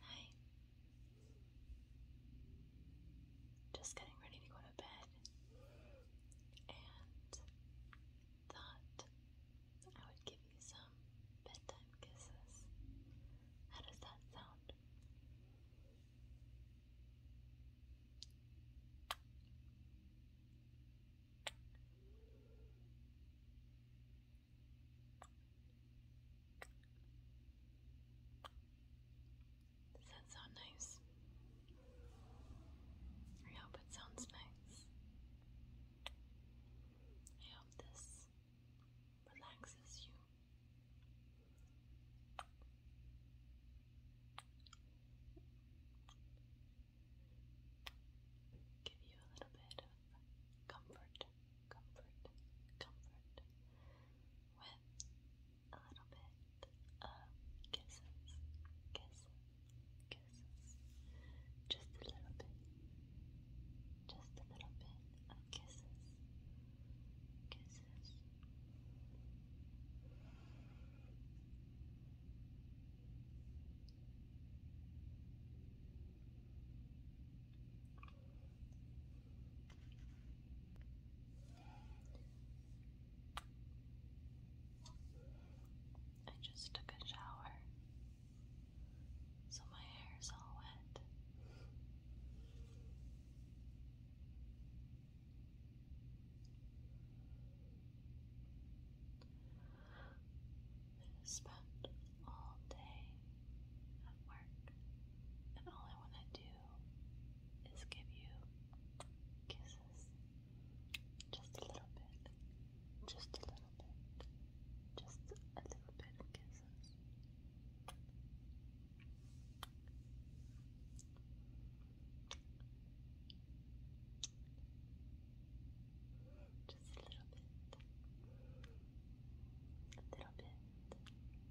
Hi. Just getting ready to go to bed and thought I would give you some bedtime kisses. How does that sound? Does that sound nice? I hope it sounds nice. I hope this relaxes you give you a little bit of comfort, comfort, comfort with a little bit of kisses, kisses, kisses, just a little bit, just a little bit of kisses, kisses. I just took a shower, so my hair's all wet. I spent all day at work, and all I want to do is give you kisses. Just a little bit, just a little bit, just a little bit of kisses. Just a little bit. A little bit.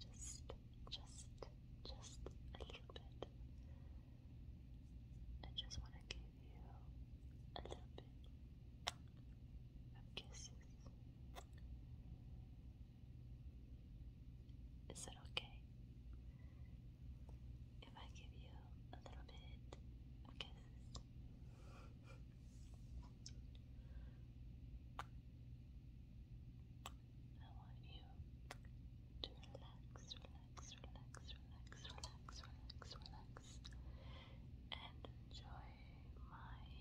Just, just, just a little bit. I just want to give you a little bit of kisses. Is that okay? If I give you a little bit of kisses. I want you to relax, relax, relax, relax, relax, relax, relax, and enjoy my kisses.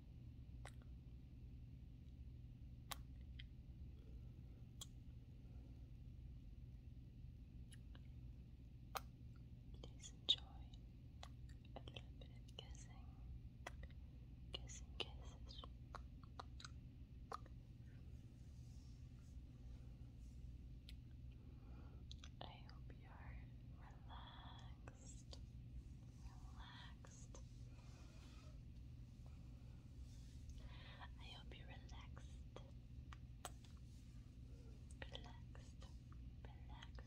Please enjoy a little bit of kissing, kissing kisses. I hope you're relaxed relaxed, relaxed. I hope you're relaxed, relaxed, relaxed. Relaxed, relaxed,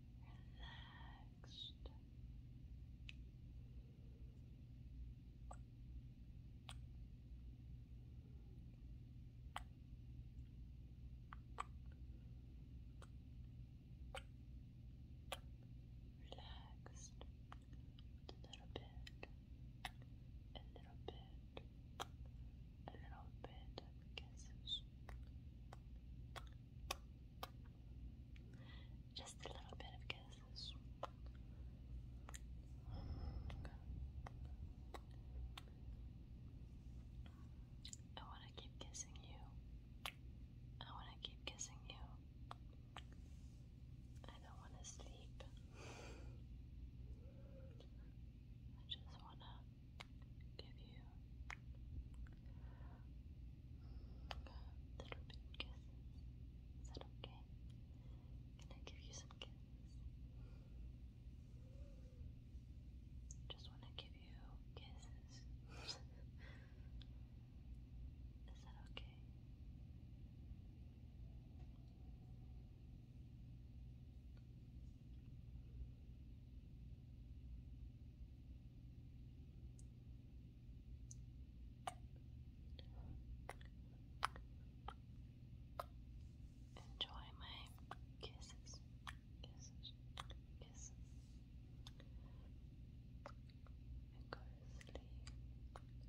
relaxed. Relaxed a little bit, a little bit, a little bit kisses. Just a little bit of kisses. I want to keep kissing you. I want to keep kissing you. I don't want to sleep. I just want to give you little bit kisses. Is that okay? Can I give you some kisses? Just want to give you kisses. Is that okay? Enjoy my kisses, kisses, kisses, and go to sleep, go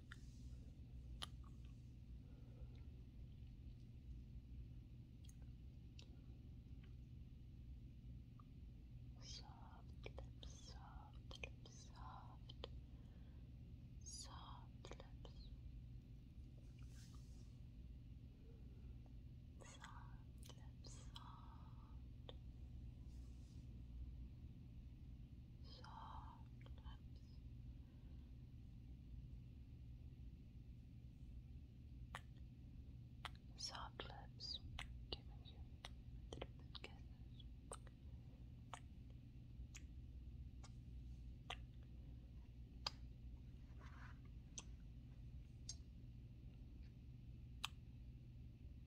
Soft lips, soft lips, soft, soft lips, soft lips, soft, soft lips. Soft lips giving you little bit kisses.